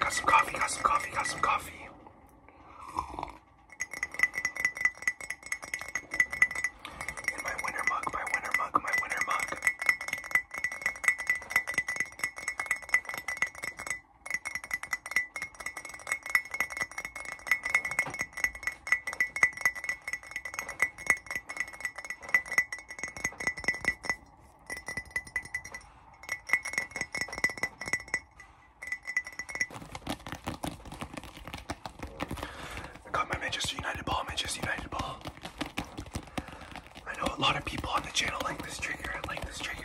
Got some coffee, got some coffee, got some coffee. And my winter mug, my winter mug, my winter mug. Got my Manchester United ball, Manchester United ball. I know a lot of people on the channel like this trigger. I like this trigger.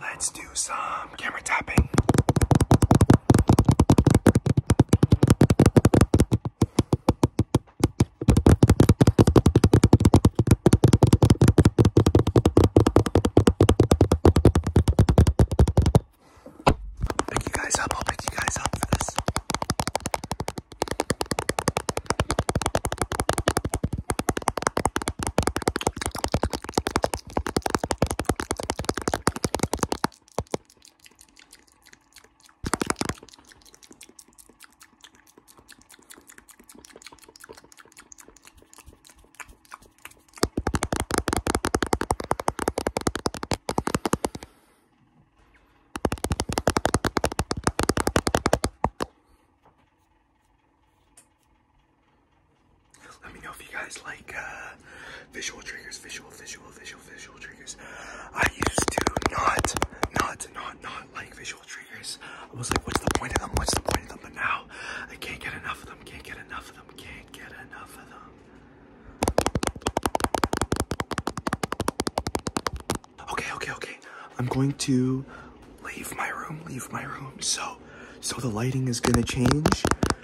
Let's do some camera tapping. Pick you guys up, I'll pick you guys up for this. Let me know if you guys like uh, visual triggers, visual, visual, visual, visual triggers. I used to not, not, not, not like visual triggers. I was like, what's the point of them? What's the point of them? But now I can't get enough of them. Can't get enough of them. Can't get enough of them. Okay, okay, okay. I'm going to leave my room, leave my room. So, so the lighting is gonna change.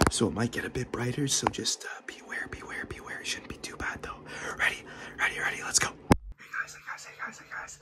So it might get a bit brighter. So just uh, beware, beware, beware. It shouldn't be too bad though. Ready, ready, ready. Let's go. Hey guys, hey guys, hey guys, hey guys.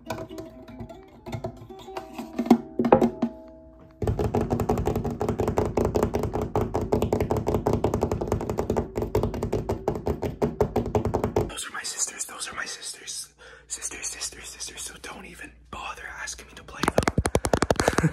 Those are my sisters. Those are my sisters. Sisters, sisters, sisters. So don't even bother asking me to play them.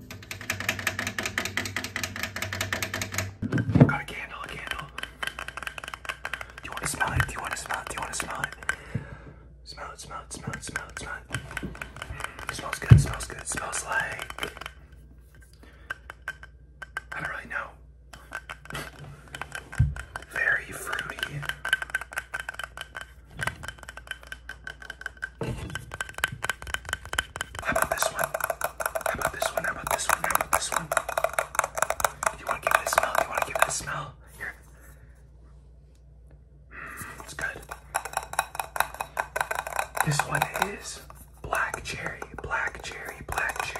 Got a candle, a candle. Do you want to smell it? Do you want to smell it? Do you want to smell it? Smell it, smell it, smell it, smell it, smell it. it smells good, smells good, smells like. I don't really know. Very fruity. How about this one? How about this one? How about this one? How about this one? You want to give it a smell? You want to give it a smell? Here. Hmm, it's good. This one is black cherry, black cherry, black cherry.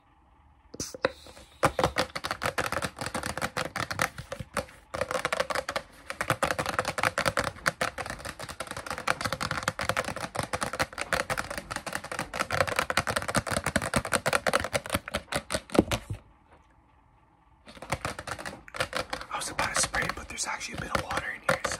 I was about to spray it, but there's actually a bit of water in here, so.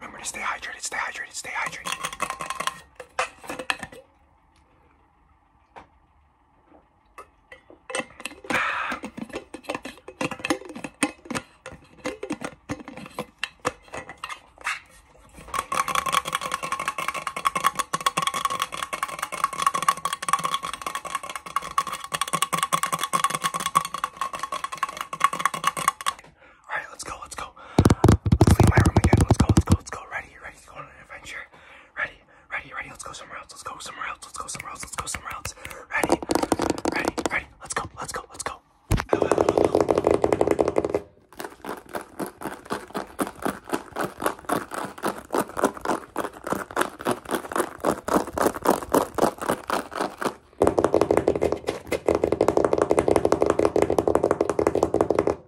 Remember to stay hydrated, stay hydrated, stay hydrated. All right, let's go, let's go. Let's leave my room again. Let's go, let's go, let's go. Ready, ready to go on an adventure. Ready, ready, ready. Let's go somewhere else. Let's go somewhere else. Let's go somewhere else. Let's go somewhere else. Ready, ready, ready. Let's go. Let's go. Let's go. Hello, hello, hello.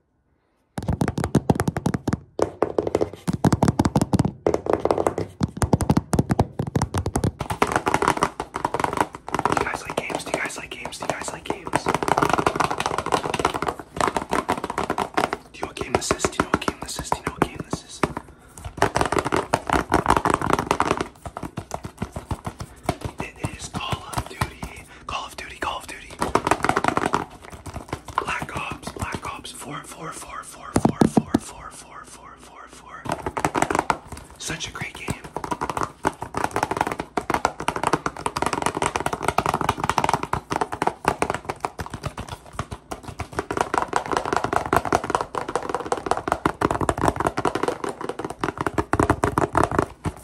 Do you guys like games? Do you guys like games? Do you guys like games? Do you know what game this is? Do you know what game this is? Do you know what game this is? It is Call of Duty. Call of Duty, Call of Duty. Black Ops, Black Ops, 4, Such a great game. Oh, I don't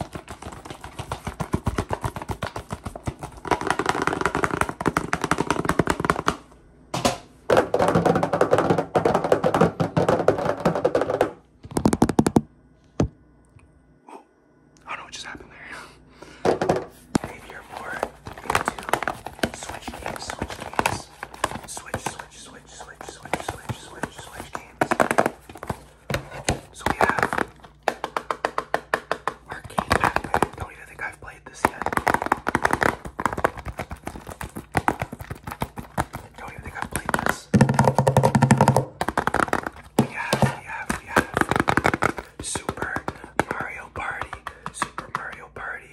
know what just happened there. hey, you're more into switch games, switch games, switch, switch, switch, switch, switch, switch, switch, switch games. So we have don't even think I've played this yet. don't even think I've played this. We have, we have, we have Super Mario Party. Super Mario Party.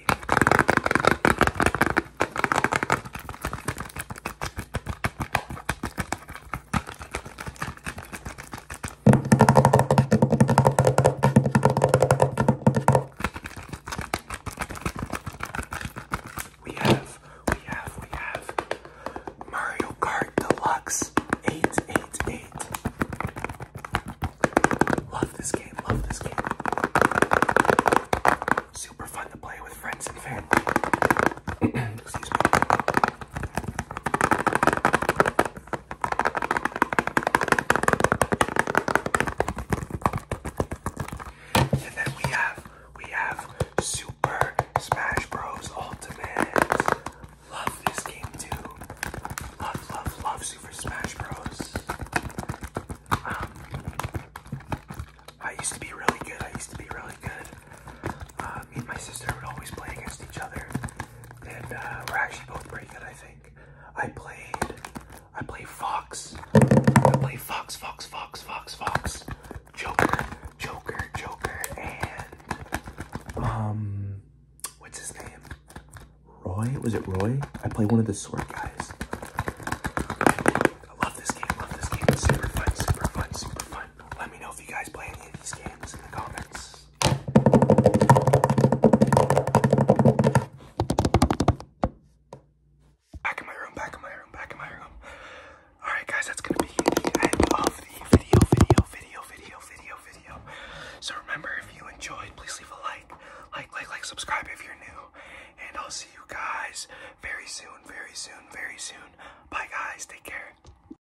We have, we have, we have Mario Kart Deluxe 888. Love this game, love this game. Super fun to play with friends and family. And then we have we have Super Smash Bros. Ultimate. Love this game too. Love, love, love Super Smash Bros. Um, I used to be really good. I used to be really good. Uh, me and my sister would always play against each other, and uh, we're actually both pretty good, I think. I played, I play Fox, I play Fox, Fox, Fox, Fox, Fox, Joker, Joker, Joker, and um, what's his name? Roy? Was it Roy? I play one of the sword guys. I love this game, love this game. super fun, super fun, super fun. Let me know if you guys play any of these games in the comments this. Back in my room, back in my room, back in my room. Alright guys, that's gonna be the end of the video, video, video, video, video, video. So remember, if you enjoyed, please leave a like, like, like, like, subscribe if you're new. And I'll see you guys very soon, very soon, very soon. Bye guys, take care.